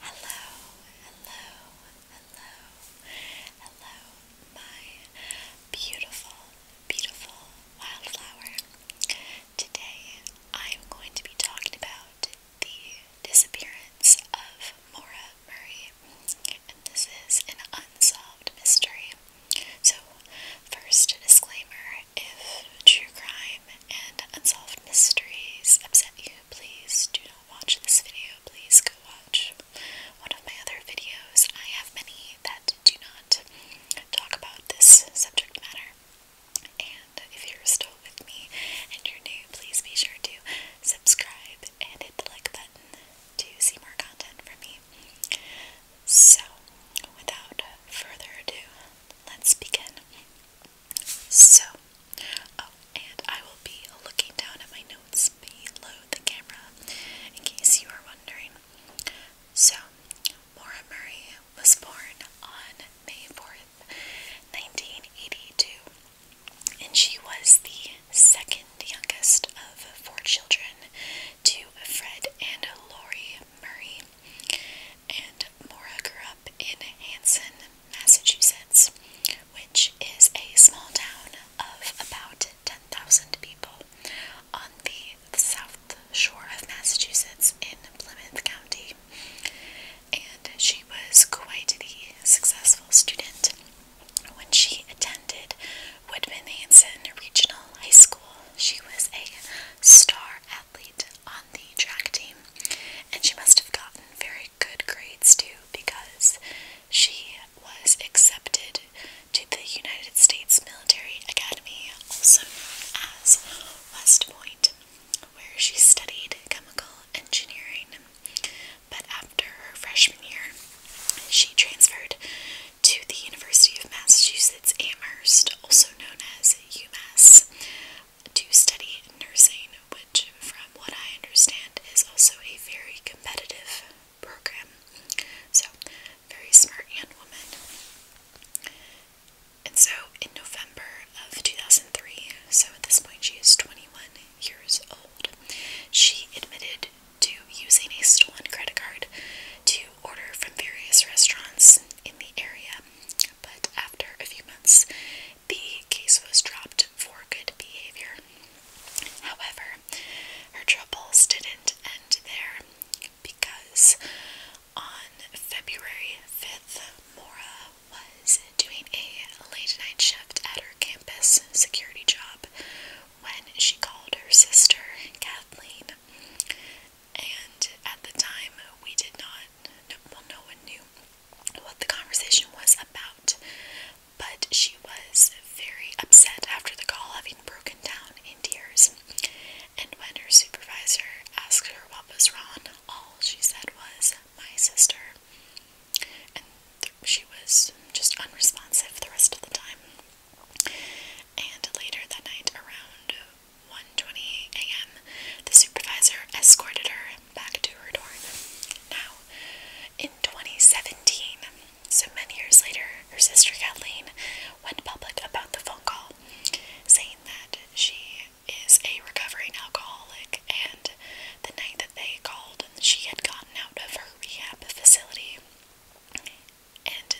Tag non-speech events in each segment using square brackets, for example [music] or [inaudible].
Hello, hello, hello, hello, my beautiful, beautiful wildflower. Today I am going to be talking about the disappearance of Maura Murray, and this is an unsolved mystery. So, first a disclaimer if true crime and unsolved mysteries upset you, Please do not watch this video. Please go watch one of my other videos. I have many that do not talk about this subject matter. And if you're still with me and you're new, please be sure to subscribe and hit the like button to see more content from me. So, without further ado, let's begin. So, oh, and I will be looking down at my notes below the camera in case you are wondering. So, Maura Murray was born on May 4th, 1982, and she was the second youngest of four children to Fred and Lori Murray and Mora grew up in Hanson, Massachusetts, which is a small town of about 10,000 people on the south shore of Massachusetts in Plymouth County. And she was quite the successful student when she attended Woodman Hanson Regional High School. She was a star athlete on the track team and she must have gotten very good grades too because she was accepted to the United States Military Academy, also known as West Point, where she studied chemical engineering. But after her freshman year, she transferred to the University of Massachusetts Amherst, also known as UMass, to study nursing, which, from what I understand, is also a very competitive program. So, very smart young woman. And so, in November of 2003, so at this point she is 21 years old, she admitted to using a stolen credit card to order from various restaurants in the area. But after a few months, the case was dropped for good behavior. However, her troubles didn't end there because on February 5th, Mora was doing a late night shift at her campus security job when she called her sister, Kathleen. And at the time, we did not, no, well, no one knew what the conversation was about, but she was very upset after the call, having broken down in tears. And when her supervisor asked her what was wrong, all she said was, My sister. And she was just unresponsive the rest of the time. And later that night, around 1:20 a.m., the supervisor escorted her back to her dorm. Now, in 2017, so many years later, her sister Kathleen went public about the phone call, saying that she is a recovering alcoholic and the night that they called, she had gotten out of her rehab facility. And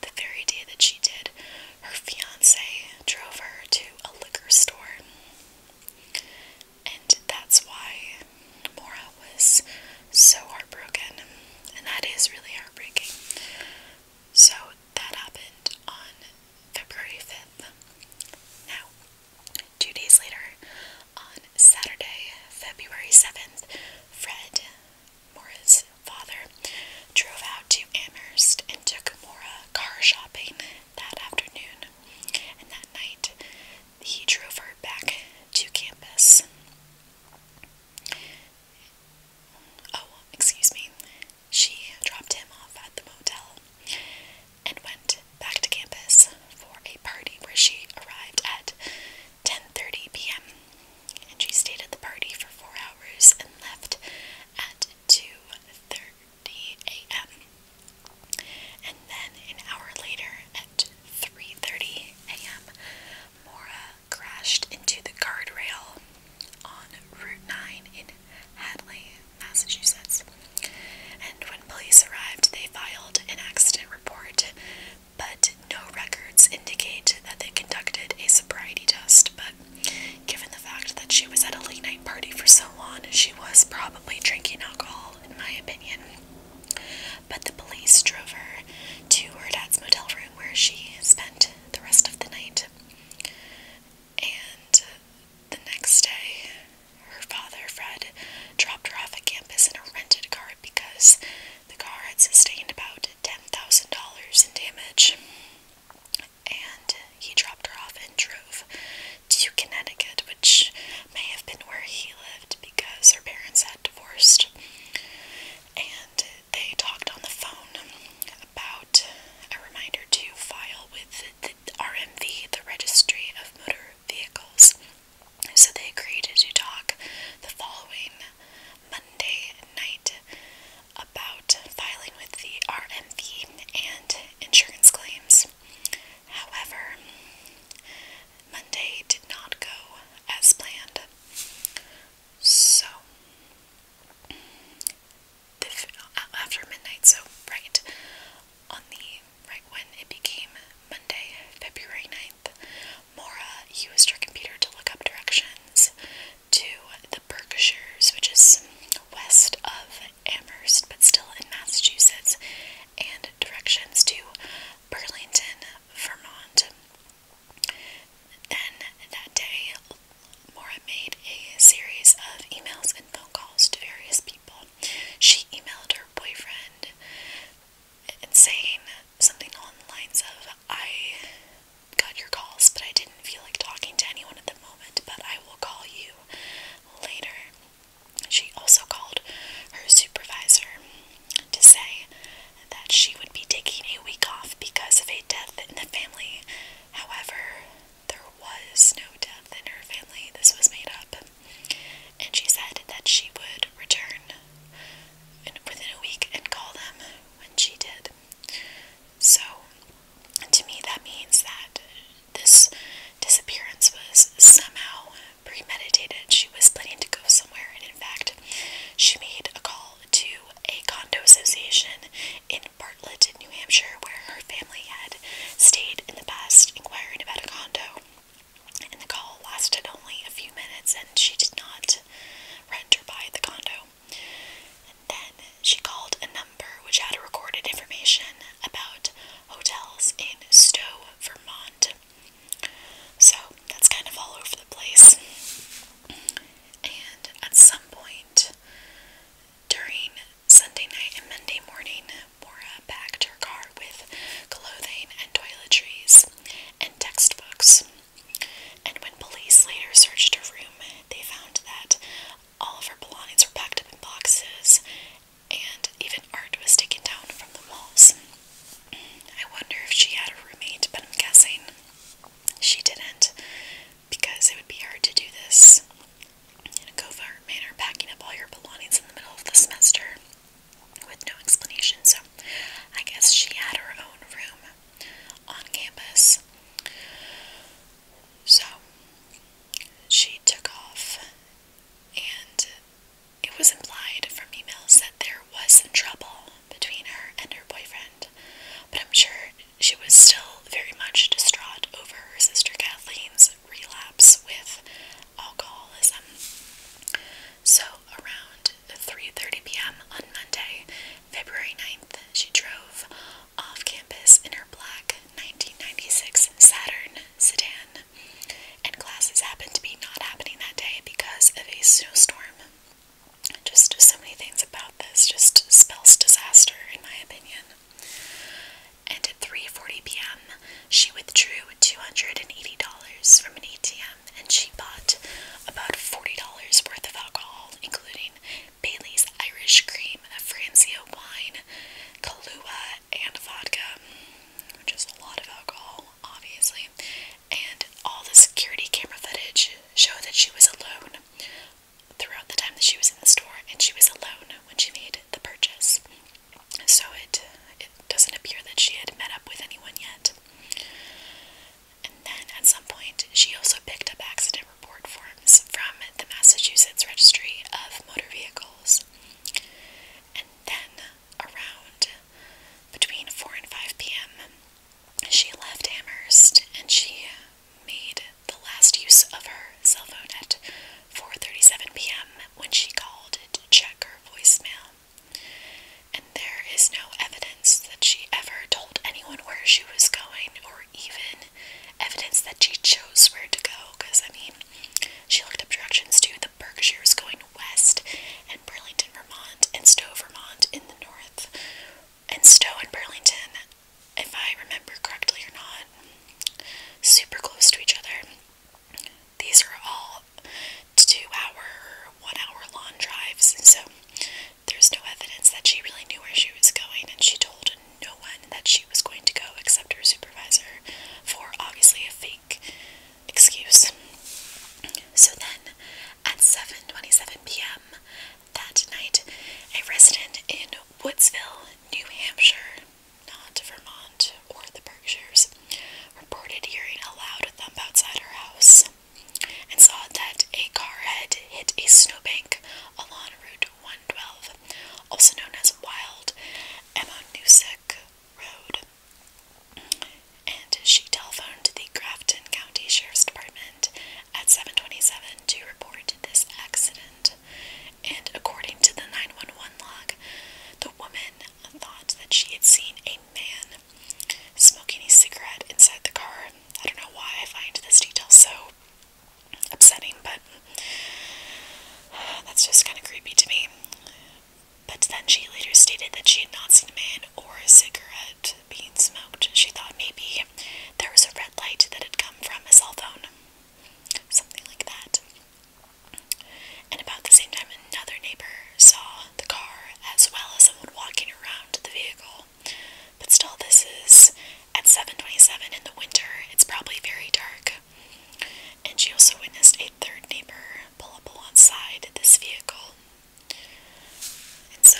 the very day that she did, her fiance drove her to a liquor store and that's why Mora was so heartbroken. And that is really heartbreaking. So that happened on February 5th. Now, two days later, on Saturday, February 7th, Fred, Mora's father, drove out to Amherst and took Mora car shopping that afternoon and that night he drove her back to campus. Oh, excuse me. She dropped him off at the motel and went back to campus for a party where she arrived at 10:30 p.m. and she stayed at the party for 4 hours and left at 2:30 a.m. And then an hour later at 3:30 a.m., Mora crashed into the guardrail on Route 9 in Hadley, Massachusetts. And when police arrived, they filed an accident report, but no records indicate that they conducted a sobriety test. But given the fact that she was at a late night party for so she was probably drinking alcohol, in my opinion. But the police drove her to her dad's motel room where she spent the rest of the night. And the next day, her father, Fred, dropped her off at campus in a rented car because the car had sustained about $10,000 in damage and he dropped her off and drove to Connecticut, which may have been where he lived because her parents had divorced. And they talked on the phone about a reminder to file with the RMV, the Registry of Motor Vehicles. So they agreed to talk the following Monday night about filing with the RMV and insurance claims. However, Monday did not go as planned. So, uh, after midnight, so right on the right when it became Monday, February 9th, Maura used her computer to look up directions to the Berkshires, which is west of Amherst, but still in Massachusetts, and directions to Burlington, Vermont. Then that day, Mora made a series of emails and phone calls to various people. She emailed her boyfriend and saying something along the lines of, I got your calls, but I didn't feel like talking to anyone at the moment, but I will call you later. She also called her supervisor to say that she would be taking a week off because of a death in the family. However, there was no death in her family, this was made up. And she said that she would return within a week and call them when she did. So, to me, that means that this disappearance was somehow premeditated. She was planning to go somewhere, and in fact, she made a call to a condo association in Bartlett, New Hampshire, where her family had stayed in the past, inquiring about a condo. And the call lasted only a few minutes, and she did not rent or buy the condo. And then she called another which had recorded information about hotels in Stowe, Vermont. So that's kind of all over the place. And at some point during Sunday night and Monday morning, Mora packed her car with clothing and toiletries and textbooks. And when police later searched her room, they found that all of her belongings were packed up in boxes, and even art was taken down from the walls. I wonder if she had a roommate, but I'm guessing she didn't because it would be hard to do this in a covert manner, packing up all your belongings in the middle of the semester with no explanation. So I guess she had her own room on campus. So she took off, and it was implied from emails that there was some trouble between her and her boyfriend, but I'm sure she was still very much distraught over her sister Kathleen's relapse with alcoholism. So around 3:30 p.m. on Monday, February 9th, she drove off campus in her black 1996 Saturn sedan, and classes happened to be not happening that day because of a snowstorm. Just so many things about this just spells disaster, in my opinion. And at 3:40 p.m., she withdrew $280 from an ATM, and she bought about $40 worth of alcohol, including Bailey's Irish Cream, a Franzia wine, Kalua and vodka, which is a lot of alcohol, obviously. And all the security camera footage showed that she was alone throughout the time that she was in the store, and she was alone when she made the purchase. So it it doesn't appear that she had met up with anyone yet. And then at some point, she also picked up accident report forms from the Massachusetts Registry of Motor Vehicles. And then, around between 4 and 5 p.m., she left Amherst and she made the last use of her cell phone at 4:37 p.m. when she called to check her voicemail. And there is no evidence that she ever told anyone where she was going or even evidence that she chose where to go because, I mean, she looked up directions to the Berkshires going west and Burlington, Vermont, and Stowe, Vermont in the north. And Stowe and Burlington, if I remember correctly or not, super close to each other. These are all two hour, one hour long drives, so there's no evidence that she really knew where she was going, and she told no one that she was going to go except her supervisor for obviously a fake excuse. So then at 7:27 p.m. that night, a resident in Woodsville, New Hampshire, not Vermont or the Berkshires, reported hearing a loud thump outside her house and saw that a car had hit a snowbank along Route 112 also known as Wild Newsick Road. And she telephoned the Grafton County Sheriff's Department at 7:27 to report this accident. And according to the 911 log, the woman thought that she had seen a man smoking a cigarette inside the car. I don't know why I find this detail so upsetting, but [sighs] that's just kind of creepy to me. But then she later stated that she had not seen a man or a cigarette being smoked. She thought maybe there was a red light that had come from a cell phone, something like that. And about the same time, another neighbor saw the car as well as someone walking around the vehicle. But still, this is at 7:27 in the winter, it's probably very dark. And she also witnessed a third neighbor pull up alongside this vehicle. And so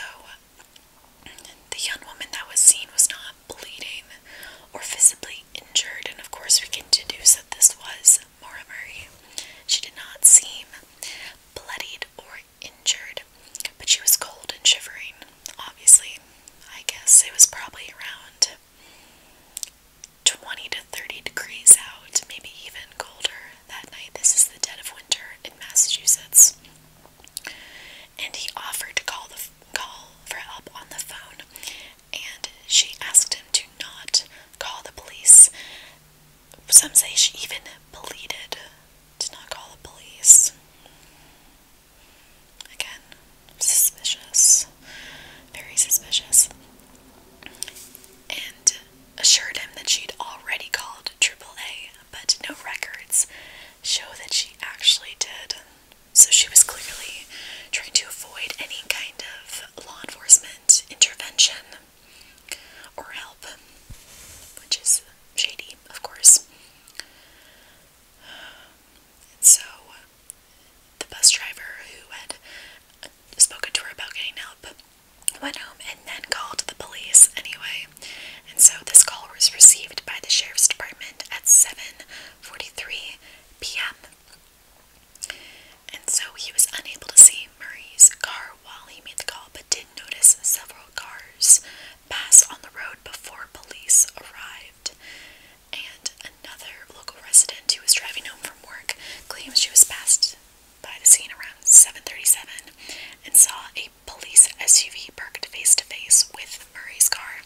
the young woman that was seen was not bleeding or visibly injured, and of course, we can deduce that this was Maura Murray. She did not seem bloodied or injured, but she was cold and shivering. Obviously, I guess it was probably around 20 to 30 degrees out, maybe even colder that night. This is the dead of winter in Massachusetts. And he offered to call the call for help on the phone, and she asked him to not call the police. Some say she even pleaded to not call the police. Again, suspicious, very suspicious, and assured him that she'd already called AAA, but no records show that she actually did. So she was clearly trying to avoid any kind of law enforcement intervention or help, which is shady, of course. so uh, the bus driver who had spoken to her about getting help went home and then called the police anyway. And so this call was received by the sheriff's department at 7:43 p.m. And so he was unable to see Murray's car while he made the call, but did notice several cars pass on the road before police arrived and another local resident who was driving home from work claims she was passed by the scene around 7:37 and saw a police SUV parked face to face with Murray's car.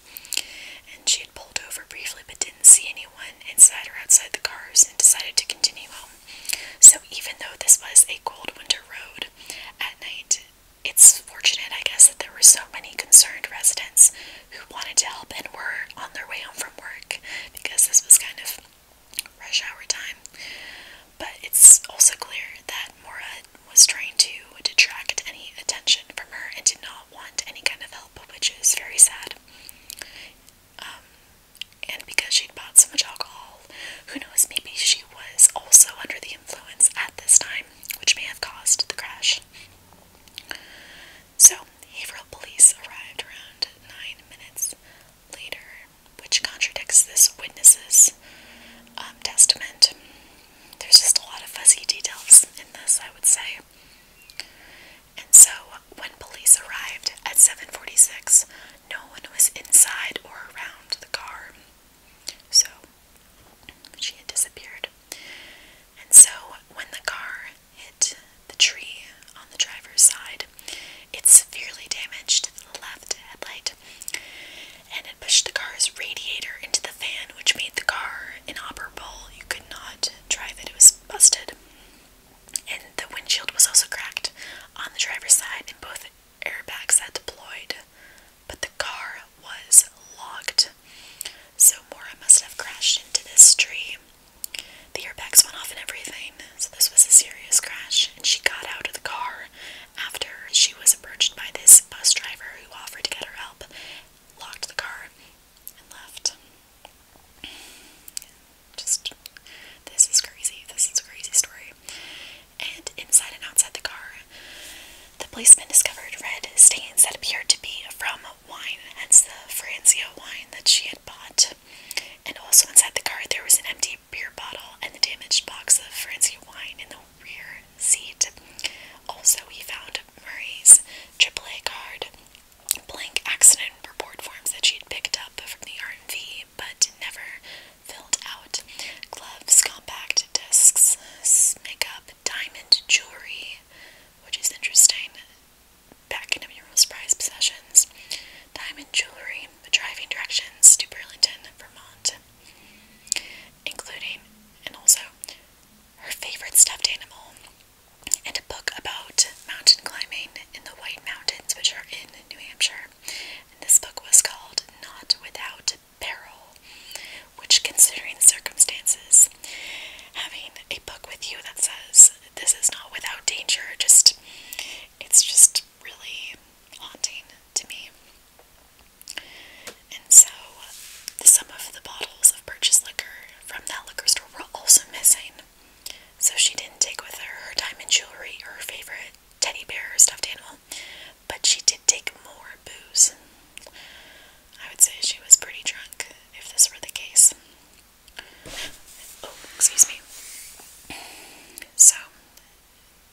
And she had pulled over briefly but didn't see anyone inside or outside the cars and decided to continue home. So even though this was a cold winter road at night, it's fortunate, I guess, that there were so many concerned residents who wanted to help and were on their way home from work because this was kind of rush hour time. But it's also clear that Mora was trying to detract any attention from her and did not want any kind of help, which is very sad. Um, and because she'd bought so much alcohol, who knows, maybe she was also under the influence at this time, which may have caused the crash. So, Haverhill police arrived around nine minutes later, which contradicts this witness's um, testament. There's just a lot of fuzzy details in this, I would say. And so, when police arrived at 7:46, no one was inside or around the car. So, she had disappeared. And so when the car hit the tree on the driver's side, it severely damaged the left headlight and it pushed the car's radiator into the fan, which made the car inoperable. You could not drive it, it was busted. And the windshield was also cracked on the driver's side, and both airbags had deployed. But the car was locked so Mora must have crashed into this tree. The airbags went off and everything, so this was a serious crash, and she got out of the car after she was approached by this bus driver who offered to get her help, locked the car, and left. Just, this is crazy. This is a crazy story. And inside and outside the car, the policemen discovered red stains that appeared to be from wine. That's the Franzia wine that she had bought. And also inside the car there was an empty beer bottle and the damaged box of Franzia wine in the rear seat. Also we found Murray's AAA card, blank accident report forms that she had picked up from the R and V, but never filled out, gloves, compact discs, makeup, diamond jewelry, which is interesting. Back into your most prized possessions. Diamond jewelry, driving directions to Burlington, Vermont. Including, and also, her favorite stuffed animal, and a book about mountain climbing in the White Mountains, which are in New Hampshire. And this book was called Not Without Peril, which, considering the circumstances, having a book with you that says this is not without danger, just it's just really haunting to me. And so, some of the bottles of purchased liquor from that liquor store were also missing. So, she didn't take with her her diamond jewelry her favorite teddy bear or stuffed animal, but she did take more booze. I would say she was pretty drunk if this were the case. Oh, excuse me. So,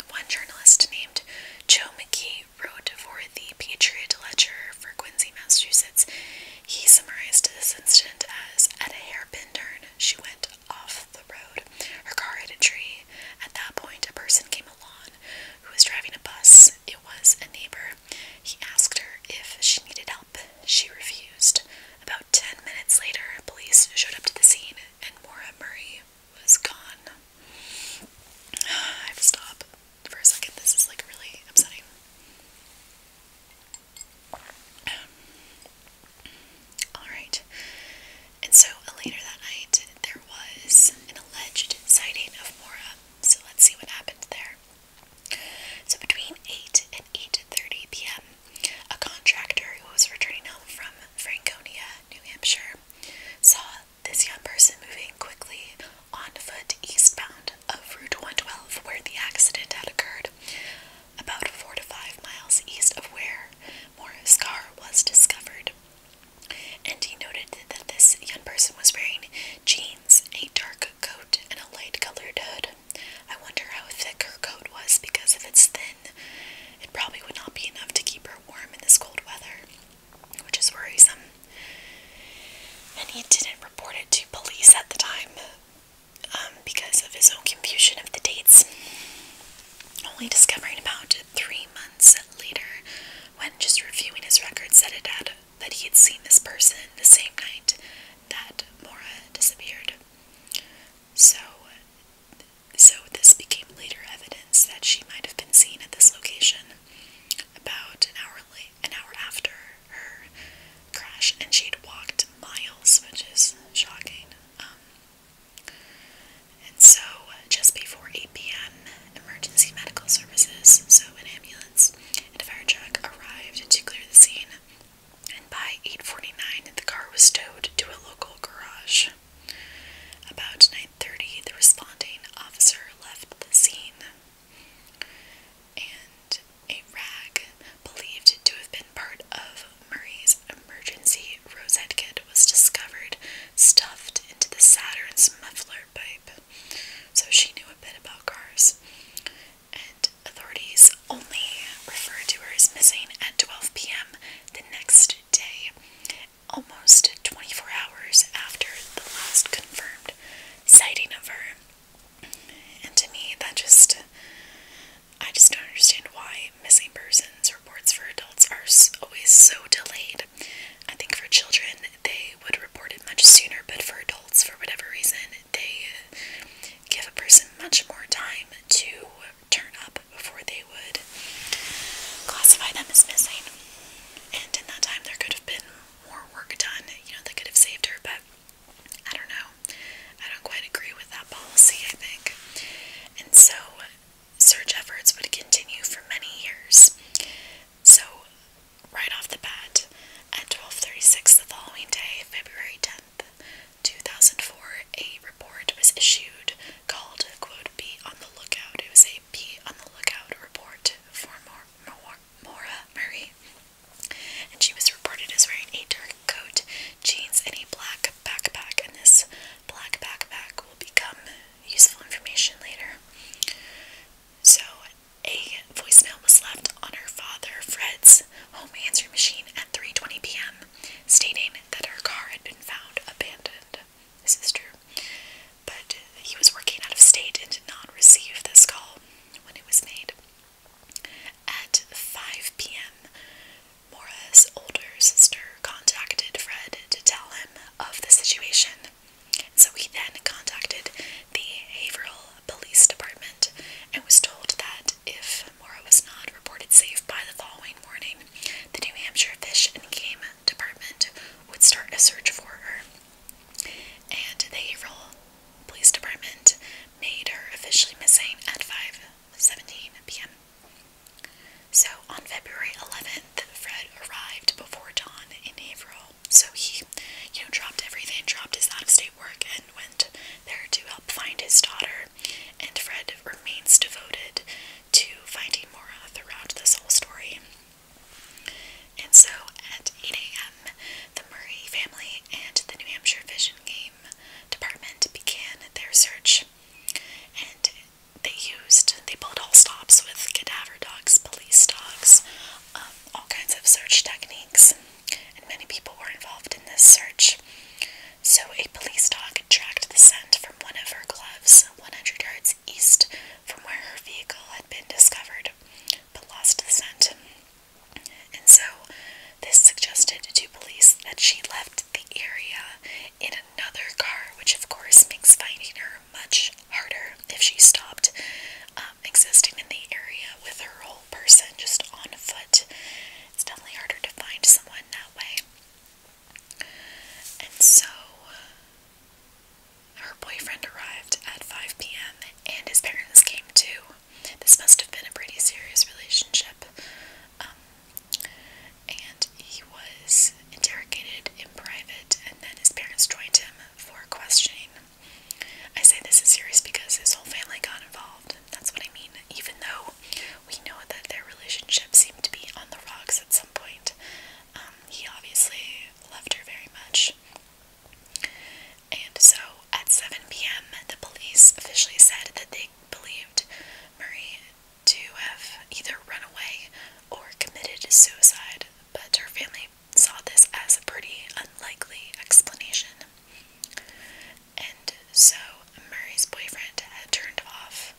one journalist named Joe McKee wrote for the Patriot Ledger for Quincy, Massachusetts. He summarized this incident as At a hairpin turn, she went off the road. Her car hit a tree. At that point, a person came along who was driving a bus. It was a neighbor he asked her if she needed help. She refused. About ten minutes later, police showed up to the scene and Maura Murray was gone. [sighs] I have to stop for a second. This is like really upsetting. Um, Alright. And so uh, later that night, there was an alleged sighting of Maura. So let's see what happened there. So between 8 and 8.30 p.m., a contractor who was returning home from Franconia, New Hampshire, saw this young person moving quickly on foot eastbound of Route 112 where the accident had occurred, about 4 to 5 miles east of where Morris' car was discovered. And he noted that this young person was wearing jeans a dark coat, and a light colored hood. I wonder how thick her coat was because if it's thin, it probably would not be enough to keep her warm in this cold weather, which is worrisome. And he didn't report it to police at the time um, because of his own confusion of the dates. Only discovering about three months later, when just reviewing his records, said it had that he had seen this person the same night that Mora disappeared. So, so this became later evidence that she might have been seen at this location about an hour an hour after her crash, and she'd walked miles, which is shocking. Um, and so, just before 8 p.m., emergency medical services, so an ambulance, and fire truck arrived to clear the scene. And by 8:49, the car was towed to a local garage. About 9:30, the responding officer left the scene, and a rag believed to have been part of Murray's emergency rosette kit was discovered stuffed into the Saturn's muffler pipe so she knew a bit about cars. And authorities only referred to her as missing at 12 p.m. the next day, almost 24 hours after the last confirmed sighting of her. And to me, that just. I just don't understand why missing persons reports for adults are always so delayed. I think for children, they would report it much sooner, but for adults, for whatever reason, they uh, give a person much more time to turn up before they would classify them as missing. And in that time, there could have been more work done, you know, that could have saved her, but I don't know. I don't quite agree with that policy, I think. And so, search efforts would continue for many years. So, right off the bat, at 12:36 the following day, February 10th, 2004, a report was issued called quote, "Be on the lookout." It was a "Be on the lookout" report for Mor Mor Mora Murray, and she was reported as wearing a dark coat, jeans, and a black backpack. And this black backpack will become useful information later. So, a voicemail was left on her father Fred's home answering machine at 3:20 p.m. stating that her car had been found abandoned. This is true. But he was working out of state and did not receive this call when it was made. At 5 p.m., Mora's older sister contacted Fred to tell him of the situation. So he then contacted the Haverhill Police Department and was told that if Mora was not reported safe by the following morning, the New Hampshire Fish and Game Department would start a search for her. And the Haverhill Police Department made her officially missing at 5:17 p.m. So on February 11th, Fred arrived before dawn in Haverhill so he, you know, dropped everything, dropped his out of state work, and went there to help find his daughter. And Fred remains devoted to finding Mora throughout this whole story. And so at 8 a.m., the Murray family and the New Hampshire Vision Game Department began their search. And they used, they pulled all stops with cadaver dogs, police dogs, um, all kinds of search techniques, and many people were involved in this search. So, a police dog tracked the scent from one of her gloves 100 yards east from where her vehicle had been discovered, but lost the scent. And so, this suggested to police that she left the area in another car, which of course makes finding her much harder if she stopped um, existing in the area with her whole person just on foot. It's definitely harder to find someone that way. And so her boyfriend arrived at 5 p.m. and his parents came too. This must have been a pretty serious relationship. Um, and he was interrogated in private, and then his parents joined him for questioning. I say this is serious because his whole family got involved. That's what I mean. Even though we know that their relationship seemed to be on the rocks at some point, um, he obviously loved her very much. And so at 7 p.m., the police officially said that they believed Marie to have either run away or committed suicide, but her family saw this as a pretty unlikely explanation. And so Murray's boyfriend had turned off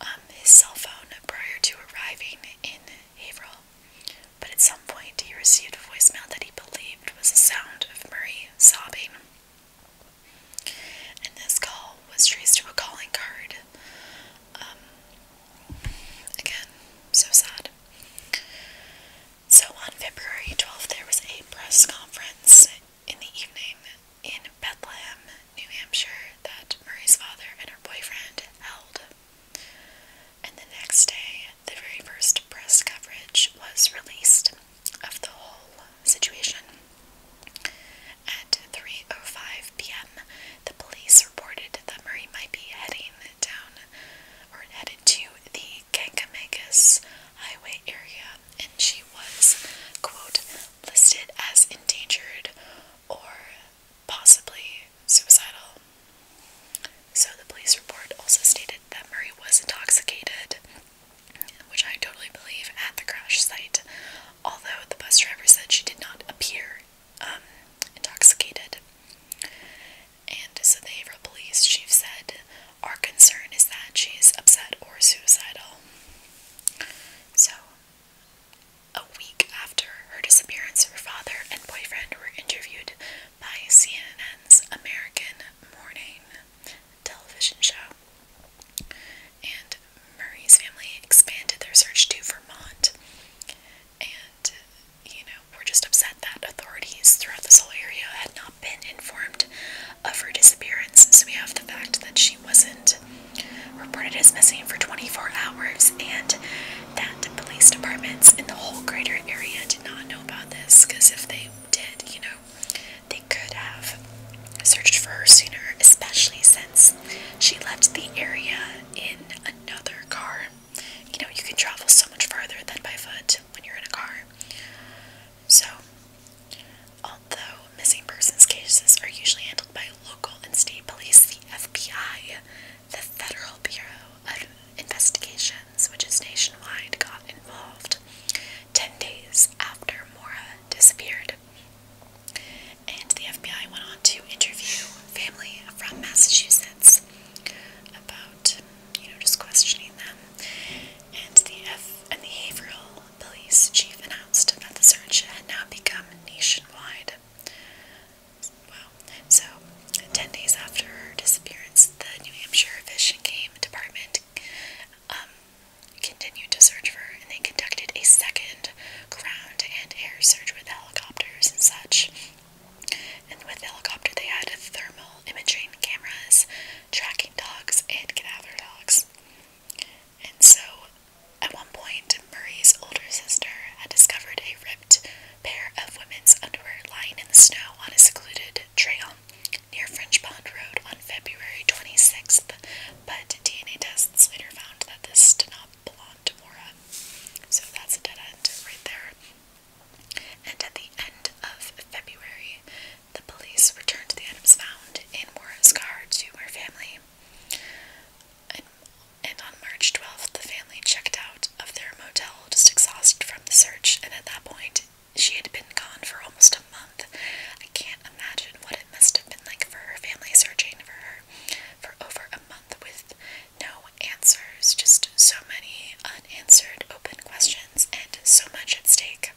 um, his cell phone prior to arriving in Haverhill, but at some point he received a voicemail that he believed was a sound of Murray sobbing. And this call was traced to a calling card. Um, again, so sad. So on February 12th, there was a press conference in the evening in Bethlehem, New Hampshire, that Murray's father and her boyfriend held. And the next day, the very first press coverage was released of the whole situation. At 3:05 p.m., the police reported that Murray might be heading down or headed to the Kankamegas Highway area, and she was, quote, listed as endangered or possibly suicidal. So the police report also stated that Murray was intoxicated, which I totally believe, at the crash site, although the bus driver said she did not appear um, intoxicated. And so the Haverhill police chief said, Our concern is that she's upset or suicidal. So, a week after her disappearance, her father and boyfriend were interviewed by CNN's American Morning television show. And Murray's family expanded their search to Vermont and you know, we're just upset that authorities throughout this whole area had not been informed of her disappearance. So we have the fact that she wasn't reported as missing for 24 hours, and that police departments in the whole greater area did not know about this because if they did, you know, they could have searched for her sooner, especially since she left the area in another car you know, you can travel so much farther than by foot when you're in a car. So, although missing persons cases are usually handled by local and state police, the FBI, the Federal Bureau of Investigations, which is nationwide, got involved 10 days after Mora disappeared. And the FBI went on to interview family from Massachusetts about you know, just questioning them. And the F and the Haverhill police chief announced that the search had now become nationwide. Wow. So, 10 days after her disappearance, the New Hampshire Fish and Game Department um, continued to search for her, and they conducted a second ground and air search with helicopters and such. And with the helicopter, they had thermal imaging cameras, tracking dogs, and cadaver dogs. And so, at one point, Murray's older sister had discovered a ripped pair of women's underwear lying in the snow on a secluded trail near French Pond Road on February 26th, but DNA tests later found that this did not belong to Mora. So that's a dead end right there. And at the end of February, the police returned the items found in Warren's car to her family. And, and on March 12th, the family checked out of their motel, just exhausted from the search. And at that point, she had been gone for almost a month. I can't imagine what it must have been like for her family searching for her for over a month with no answers, just so many unanswered open questions and so much at stake.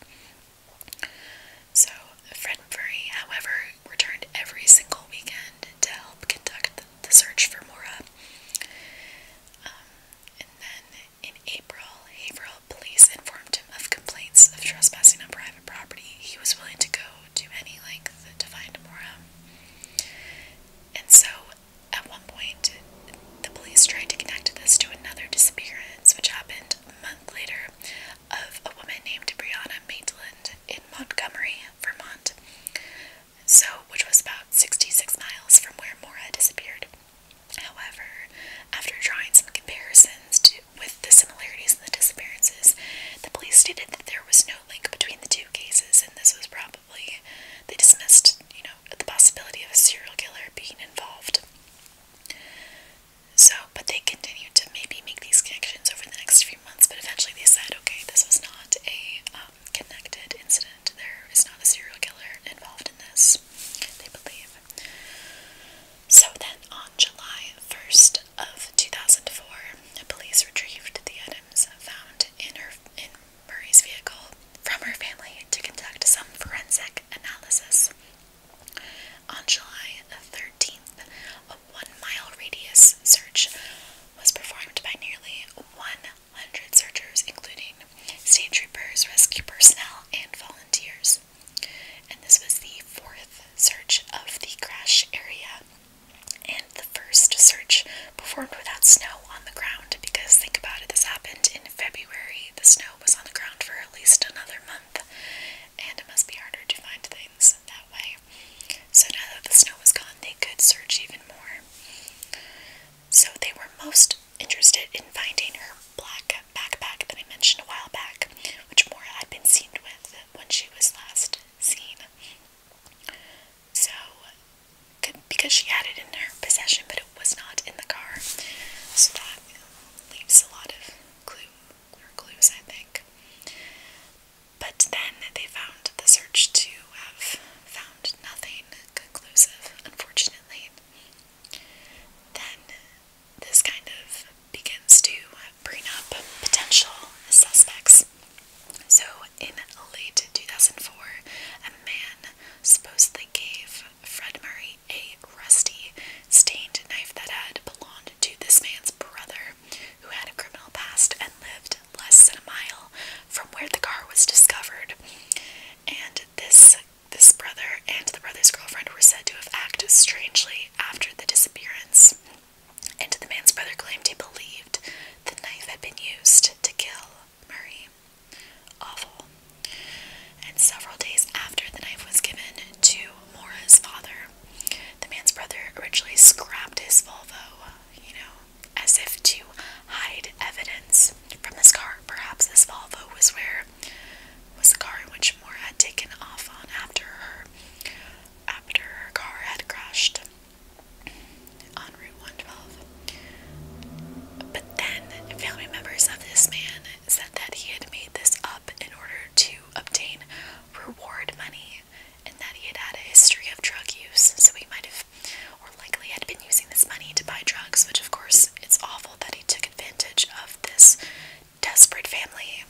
So, Fred Murray, however, returned every single weekend to help conduct the search for Mora. Um, and then in April, April police informed him of complaints of trespassing on private property. He was willing to go to any length to find Mora. And so at one point, the police tried to connect this to another disappearance, which happened a month later, of a woman named Brianna Maitland in Montgomery, Vermont. So, which was about 66 miles from where Mora disappeared. However, after drawing some comparisons with the similarities in the disappearances, the police stated that there was no link between the two cases, and this was probably they dismissed, you know, the possibility of a serial killer being involved. So, but they continued to maybe make these connections over the next few months, but eventually they said, okay, this was not a um, connected incident. There is not a serial killer involved in this, they believe. So then on July 1st of 2004, police retrieved the items found in her in Murray's vehicle from her family to conduct some forensic analysis. On July 13th, a one mile radius search was performed by nearly 100 searchers, including state troopers, rescue personnel, and volunteers. And this was the fourth search of the crash area and the first search performed without snow snow on the ground because think about it, this happened in February. The snow was on the ground for at least another month, and it must be harder to find things that way. So now that the snow was gone, they could search even more. So they were most interested in finding her black backpack that I mentioned a while back, which Mora had been seen with when she was last seen. So because she had it in her possession, but it was not in the car. So that leaves a lot of clue clues, I think. But then they found the search to have found nothing conclusive, unfortunately. Then this kind of begins to bring up potential suspects. So in late 2004, a man supposedly gave Fred Murray a rusty, stained knife that had belonged to this man's brother, who had a criminal past and lived less than a mile from where the car was discovered. And this this brother and the brother's girlfriend were said to have acted strangely after the disappearance. And the man's brother claimed he believed the knife had been used to kill Murray. Awful. And several days after the knife was given to Mora's father, the man's brother originally scrapped his Volvo, you know, as if to hide evidence from this car. Perhaps this Volvo was where was the car in which Mora had taken off on after her after her car had crashed on Route 112. But then, family members of this man said that he had made this up in order to obtain reward money and that he had had a history of drug use, so he might have, or likely had been using this money to buy drugs, which of course it's awful that he took advantage of this desperate family,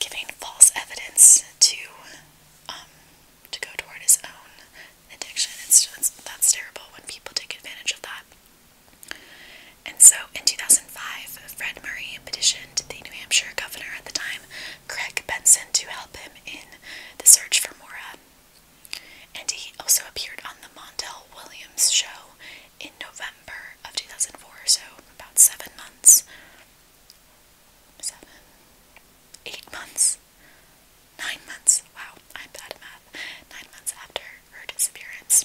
giving false evidence to um to go toward his own addiction. It's just, that's terrible when people take advantage of that. And so in 2005, Fred Murray petitioned the New Hampshire governor at the time, Craig Benson, to help him in the search for Mora. And he also appeared on the Montel Williams show in November of 2004, so about seven months, seven, eight months Nine months, wow, I'm bad math. Nine months after her disappearance.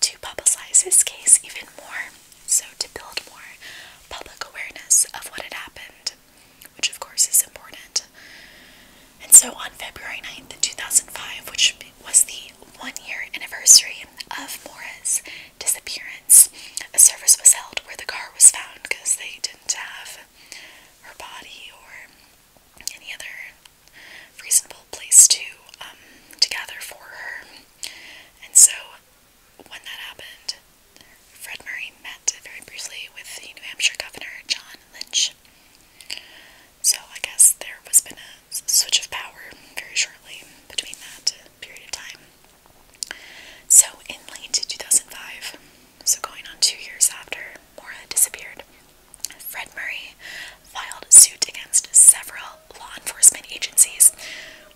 To publicize this case even more, so to build more public awareness of what had happened, which of course is important. And so on February 9th, 2005, which was the one year anniversary of Mora's disappearance, a service was held where the car was found because they didn't have her body or any other reasonable place to um, to gather for her. And so, when that happened, Fred Murray met very briefly with the New Hampshire Governor John Lynch. So I guess there was been a switch of power very shortly between that period of time. So in late 2005, so going on two years after Mora disappeared, Fred Murray filed suit against several law enforcement agencies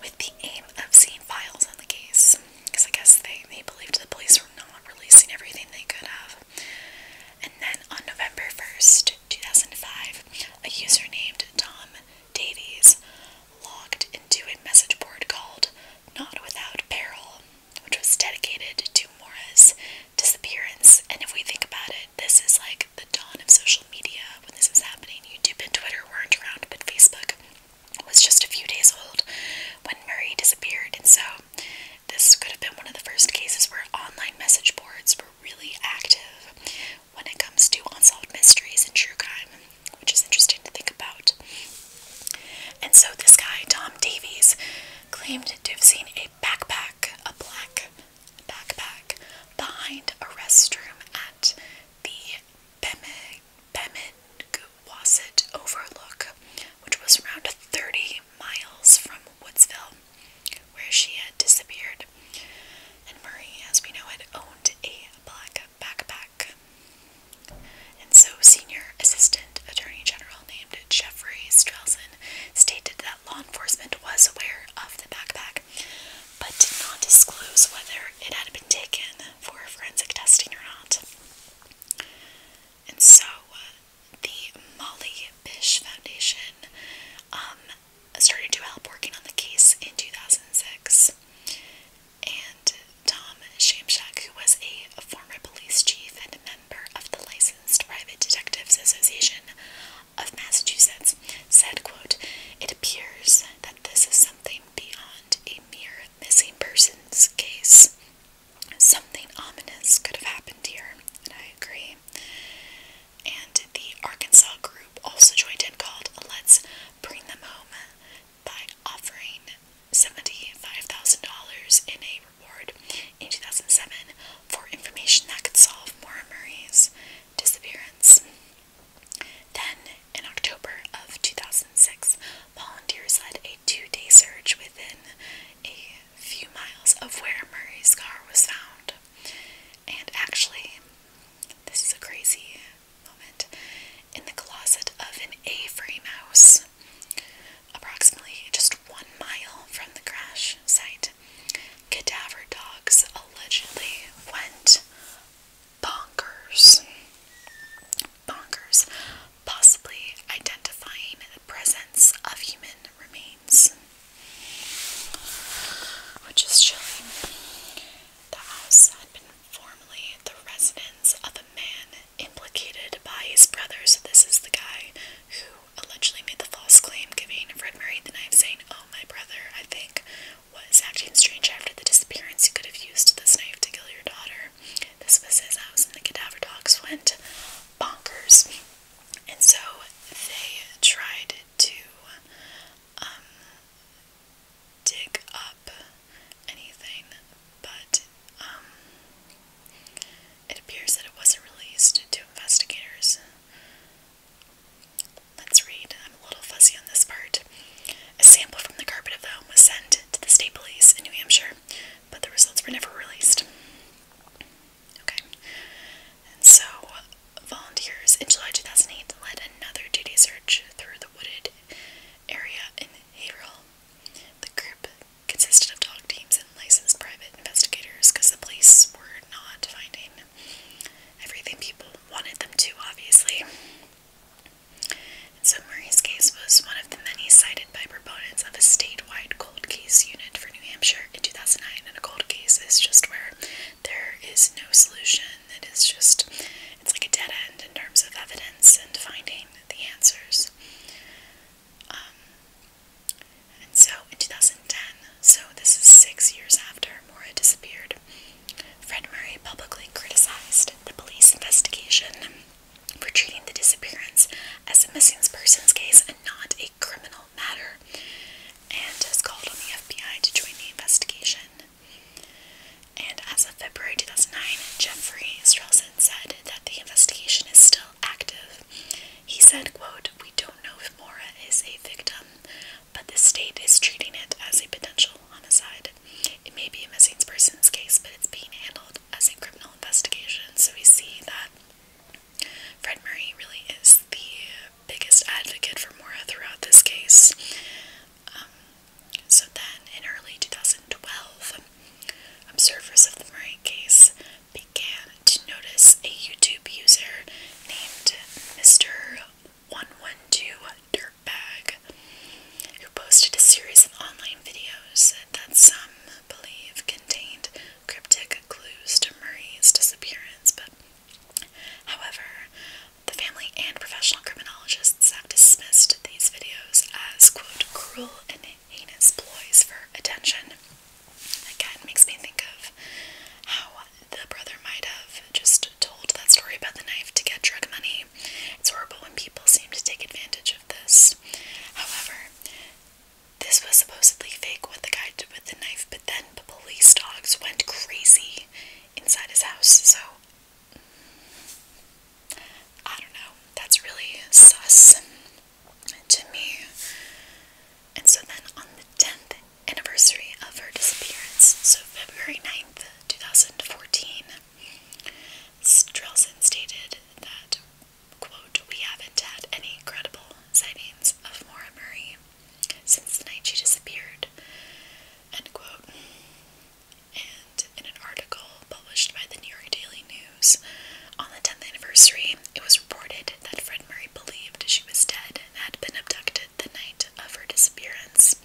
with the aim of seeing files on the case, because I guess they, they believed the police were not releasing everything they could have. And then on November 1st, 2005, a user named Tom Davies logged into a message board called Not Without Peril which was dedicated to Mora's disappearance. And if we think about it, this is like the dawn of social media when this was happening. YouTube and Twitter weren't around, but Facebook was just a few days old when Murray disappeared. And so this could have been one of the first cases where online message boards were really active when it comes to unsolved mysteries and true crime, which is interesting to think about. And so this guy, Tom Davies, claimed to have seen a backpack, a black backpack, behind a restroom at the Bemidwaset Overlook, which was around 30 miles from Woodsville, where she had disappeared. And Murray, as we know, had owned a black backpack. And so, Senior Assistant Attorney General named Jeffrey Strelson stated that law enforcement was aware of the backpack, but did not disclose whether it had been taken for forensic testing or not. And so, uh, the Molly Bish Foundation um, started to help working on the case in 2006. And Tom Shamshak, who was a former police chief and member of the Licensed Private Detectives Association of Massachusetts, said, quote, It appears that this is something beyond a mere missing persons case. Something ominous could have happened here, and I agree. And the Arkansas group also joined in called Let's Bring Them Home by offering $75,000 in a reward in 2007 for information that could solve Maura Murray's disappearance. Then, in October of 2006, volunteers led a two day search within a few miles of where Murray's car was found. And actually, this is a crazy moment. In the closet of an A frame house Approximately just one mile from the crash site, cadaver dogs allegedly went bonkers. Bonkers, possibly identifying the presence of human remains. Which is chilling. The house had been formerly the residence of a man implicated by his brother. So this is the guy who allegedly made the false claim giving Fred Murray the knife, saying, "Oh, my brother, I think was acting strange after the disappearance. You could have used this knife to kill your daughter." This was his house, and the cadaver dogs went bonkers. And so they tried to um, dig up anything, but um, it appears that it wasn't released to investigators. Let's read. I'm a little fuzzy on this part. A sample from the carpet of the home was sent to the state police in New Hampshire, but the results were never released. Okay. so, volunteers in July 2008 led another two-day search through the wooded area in Haverhill. The group consisted of dog teams and licensed private investigators because the police were not finding everything people wanted them to, obviously. And so Murray's case was one of the many cited by proponents of a statewide cold case unit for New Hampshire in 2009. And a cold case is just where there is no solution. It is just, it's like a dead end in terms of evidence and finding the answers. Um, and so in 2010, so this is six years after Mora disappeared, Fred Murray publicly criticized the police investigation for treating the disappearance as a missing persons case and not a criminal matter, and has called on the FBI to join the investigation. And as of February 2009, Jeffrey Strelson said that the investigation is still active. He said, quote, We don't know if Mora is a victim, but the state is treating it as a potential homicide. It may be a missing persons case, but it's being handled as a criminal investigation. So we see that Fred Murray really is the biggest advocate for Mora throughout this case. Um, so then in early 2012, Observers of the Murray case began to notice a YouTube user named Mr. 112 Dirtbag who posted a series of online videos that some believe contained cryptic clues to Murray's disappearance. But, however, the family and professional criminologists have dismissed these videos as, quote, cruel and heinous ploys for attention. Again, makes me think of how the brother might have just told that story about the knife to get drug money. It's horrible when people seem to take advantage of this. However, this was supposedly fake what the guy did with the knife, but then the police dogs went crazy inside his house, so I don't know. That's really sus to me. And so then on the 10th anniversary of her disappearance, so February 9th, 2014, Strelson stated that, quote, we haven't had any credible sightings of Maura Murray since the night she disappeared, end quote. And in an article published by the New York Daily News on the 10th anniversary, it was reported that Fred Murray believed she was dead and had been abducted the night of her disappearance.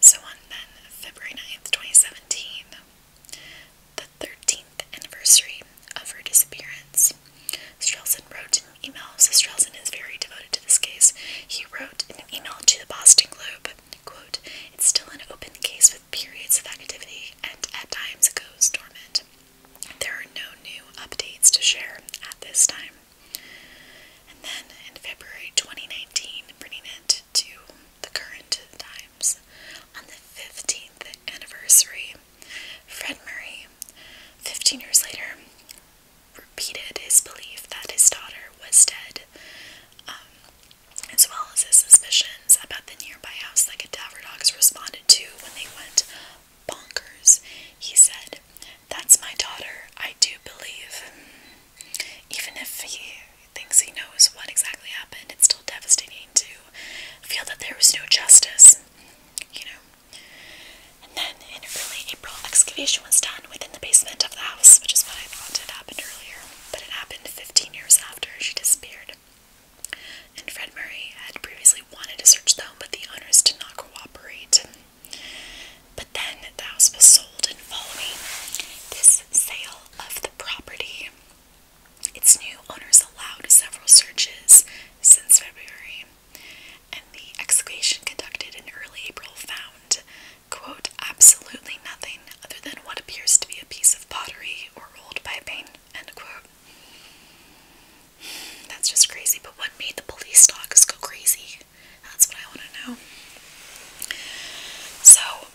So on then February 9th, 2017, the 13th anniversary of her disappearance, Strelson wrote an email. So Strelson is very devoted to this case. He wrote an email to the Boston Globe, quote, it's still an open case with periods of activity and at times goes dormant. There are no new updates to share at this time. And then in February 2019, bringing it to the current times, on the 15th anniversary, Fred Murray, 15 years later, repeated his belief that his daughter was dead. Um, as well as his suspicions about the nearby house that cadaver dogs responded to when they went bonkers. He said, That's my daughter, I do believe. Even if he thinks he knows what exactly happened, it's still devastating to feel that there was no justice, you know. And then in early April, excavation was done one within the basement of the house, which is what I thought had happened earlier, but it happened 15 years after she disappeared. And Fred Murray had previously wanted to search the home, but the owners did not cooperate. But then the house was sold, and following this sale of the property, its new owners allowed several searches since February, and the excavation conducted in early April found quote, absolutely nothing other than what appears to be a piece of pottery or old piping, end quote. That's just crazy, but what made the police dogs go crazy? That's what I want to know. So,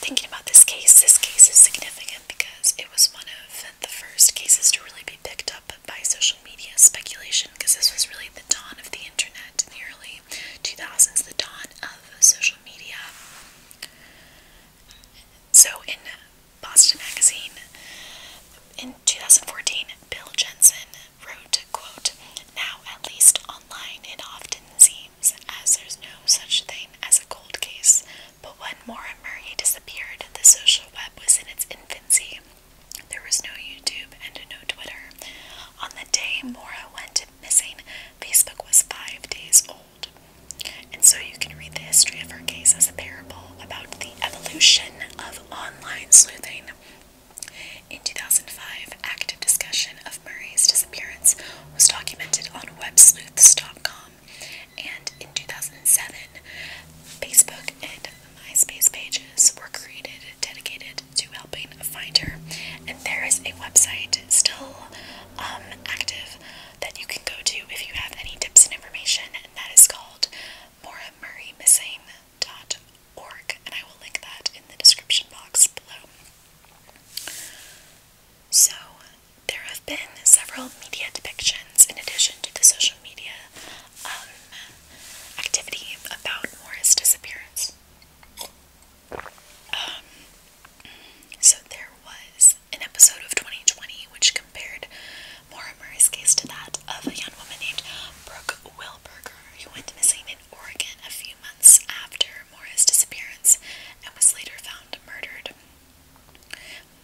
thinking about this case, this case is significant because it was one of the first cases to really be picked up by social media speculation because this was really the dawn of the internet in the early 2000s, the dawn of social media. So, in Boston Magazine in 2014, Bill Jensen wrote, quote, Now, at least online, it often seems as there's no such thing as a cold case. But when Maura Murray disappeared, the social web was in its infancy. There was no YouTube and no Twitter. On the day Maura went missing, Facebook was five days old. And so you can read the history of her case as a parable about the evolution of online sleuthing. In 2005, active discussion of Murray's disappearance was documented on websleuths.com, and in 2007, Facebook and MySpace pages were created dedicated to helping find her. And there is a website still um, active that you can go to if you have any tips and information, and that is called Missing dot moramurraymissing.org. And I will link that in the description box below. So, there have been several media depictions in addition to the social media um, activity about Mora's disappearance. Um, so there was an episode of 2020 which compared Maura Murray's case to that of a young woman named Brooke Wilberger who went missing in Oregon a few months after Maura's disappearance and was later found murdered.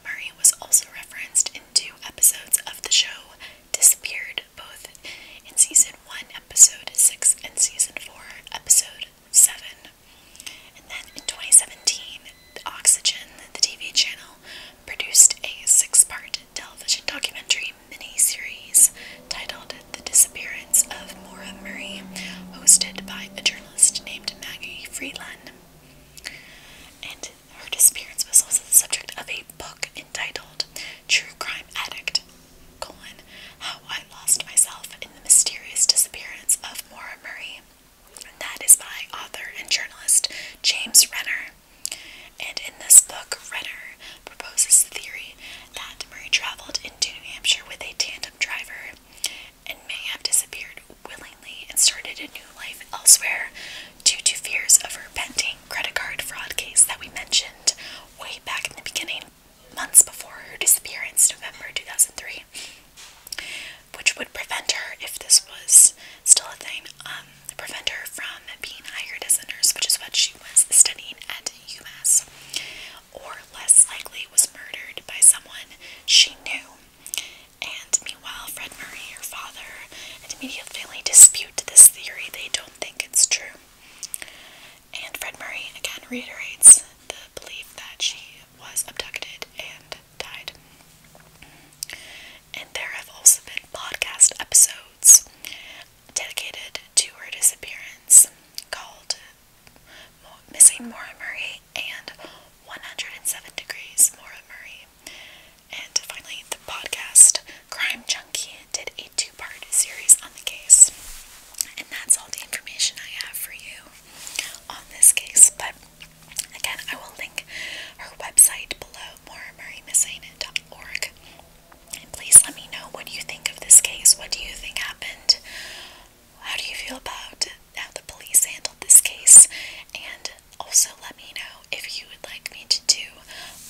Murray was also referenced in two episodes of the show Disappeared, both in season 1, episode 6, and season 4, episode seven. And then in 2017, Oxygen, the TV channel, produced a six-part television documentary mini-series titled "The Disappearance of Maura Murray," hosted by a journalist named Maggie Freeland. And her disappearance was also the subject of a book entitled "True Crime Addict: how I lost myself in the mysterious disappearance of Maura Murray. that is by author and journalist James Renner. And in this book, Renner proposes the theory that Murray traveled into New Hampshire with a tandem driver and may have disappeared willingly and started a new life elsewhere due to fears of her pending credit card fraud case that we mentioned way back in the beginning months before her disappearance, November 2003, which would prevent her, if this was still a thing, um, prevent her from being hired as a nurse, which is what she was studying at UMass, or less likely was murdered by someone she knew. And meanwhile, Fred Murray, her father, and immediate family dispute this theory. They don't think it's true. And Fred Murray again reiterates the belief that she was abducted and died. And there have also been podcast episodes dedicated to her disappearance called Missing Maura Murray and 107 Degrees Maura Murray. And finally, the podcast Crime Junkie did a two part series on the case. And that's all the information I have for you on this case. But again, I will link her website below, moramurraymissaina.org. And please let me know what you think of this case. What do you think happened? How do you feel about how the police handled this case? And also let me know if you would like me to do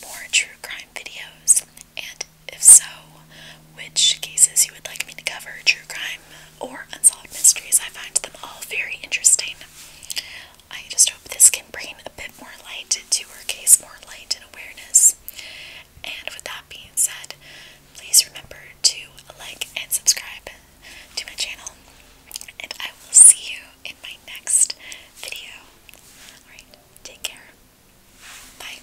more true crime videos. And if so, which cases you would like me to cover true crime or unsolved mysteries. I find them all very interesting. I just hope this can bring a bit more light to her case, more light and awareness. And with that being said, please remember to like and subscribe to my channel. And I will see you in my next video. Alright, take care. Bye.